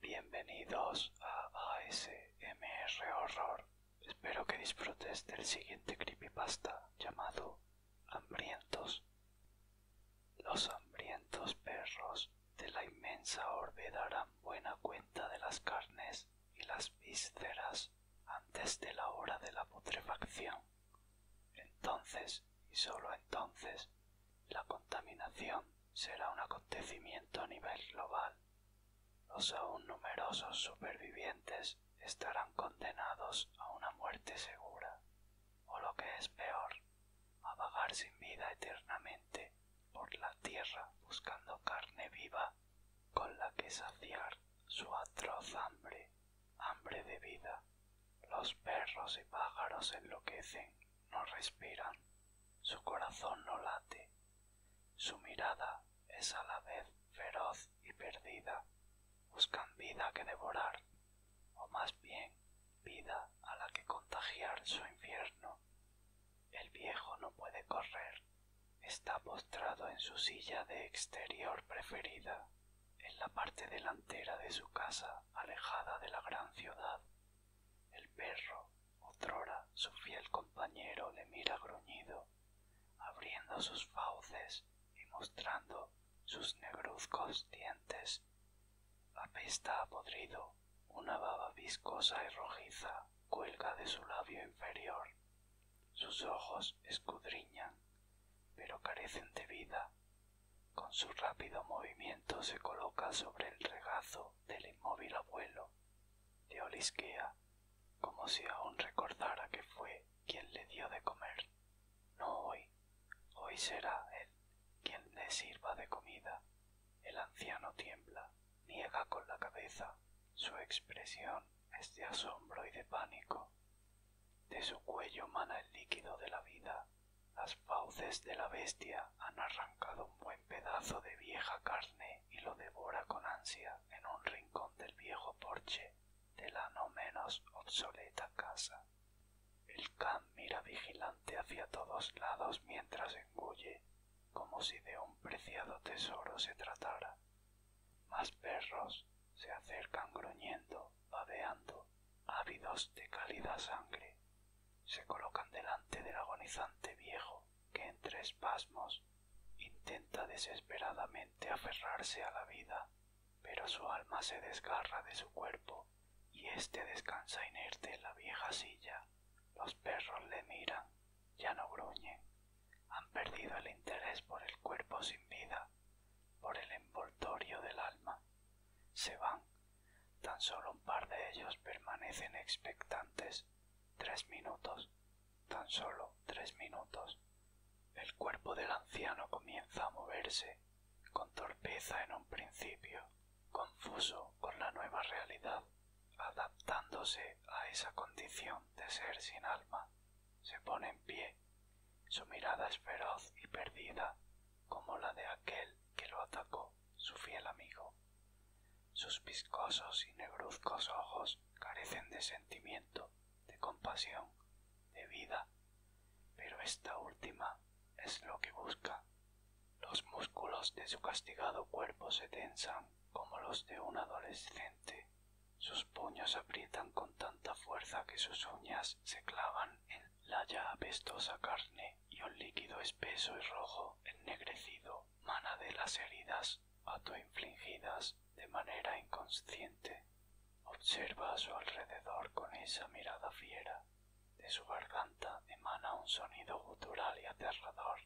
Bienvenidos a ASMR Horror. Espero que disfrutes del siguiente creepypasta llamado Hambrientos. Los hambrientos perros de la inmensa orbe darán buena cuenta de las carnes y las vísceras antes de la hora de la putrefacción. Entonces, y sólo entonces, la contaminación será un acontecimiento a nivel global. Los aún numerosos supervivientes estarán condenados a una muerte segura, o lo que es peor, a vagar sin vida eternamente por la tierra buscando carne viva con la que saciar su atroz hambre, hambre de vida. Los perros y pájaros enloquecen, no respiran, su corazón no late, su mirada es a la vez feroz y perdida, buscan vida que devorar, o más bien vida a la que contagiar su infierno. El viejo no puede correr. Está postrado en su silla de exterior preferida, en la parte delantera de su casa, alejada de la gran ciudad. El perro, otrora su fiel compañero, le mira gruñido, abriendo sus fauces y mostrando sus negruzcos dientes apesta a podrido, una baba viscosa y rojiza cuelga de su labio inferior. Sus ojos escudriñan, pero carecen de vida. Con su rápido movimiento se coloca sobre el regazo del inmóvil abuelo. de olisquea, como si aún recordara que fue quien le dio de comer. No hoy, Hoy será él quien le sirva de comida. El anciano tiembla, niega con la cabeza. Su expresión es de asombro y de pánico. De su cuello mana el líquido de la vida. Las fauces de la bestia han arrancado un buen pedazo de vieja carne y lo devora con ansia en un rincón del viejo porche de la no menos obsoleta casa. El can mira vigilante hacia todos lados mientras engulle, como si de un preciado tesoro se tratara. Más perros se acercan gruñendo, babeando, ávidos de cálida sangre. Se colocan delante del agonizante viejo, que entre espasmos intenta desesperadamente aferrarse a la vida pero su alma se desgarra de su cuerpo y éste descansa inerte en la vieja silla. Los perros le miran, ya no gruñen, han perdido el interés por el cuerpo sin vida, por el envoltorio del alma. Se van, tan solo un par de ellos permanecen expectantes. Tres minutos, tan sólo tres minutos, el cuerpo del anciano comienza a moverse con torpeza en un principio, confuso con la nueva realidad, adaptándose a esa condición de ser sin alma. Se pone en pie, su mirada es feroz y perdida, como la de aquel que lo atacó, su fiel amigo. Sus viscosos y negruzcos ojos carecen de sentimiento, de compasión, de vida, pero esta última es lo que busca. Los músculos de su castigado cuerpo se tensan como los de un adolescente. Sus puños aprietan con tanta fuerza que sus uñas se clavan en la ya apestosa carne y un líquido espeso y rojo ennegrecido mana de las heridas a infligidas de manera inconsciente. Observa a su alrededor con esa mirada fiera. De su garganta emana un sonido gutural y aterrador.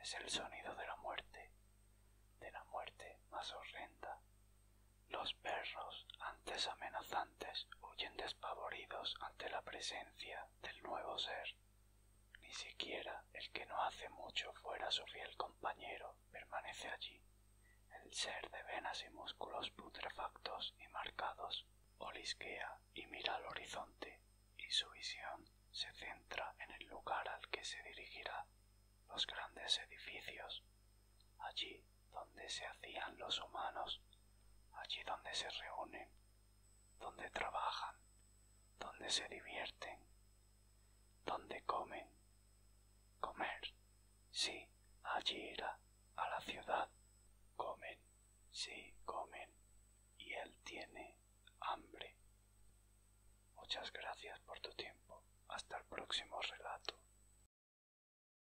Es el sonido de la muerte, de la muerte más horrenda. Los perros, antes amenazantes, huyen despavoridos ante la presencia del nuevo ser. Ni siquiera el que no hace mucho fuera su fiel compañero permanece allí. El ser de venas y músculos putrefactos y marcados olisquea y mira al horizonte, y su visión se centra en el lugar al que se dirigirá, los grandes edificios, allí donde se hacían los humanos allí donde se reúnen, donde trabajan, donde se divierten, donde comen. Comer, sí, allí era, a la ciudad. Comen, sí, comen, y él tiene hambre. Muchas gracias por tu tiempo. Hasta el próximo relato.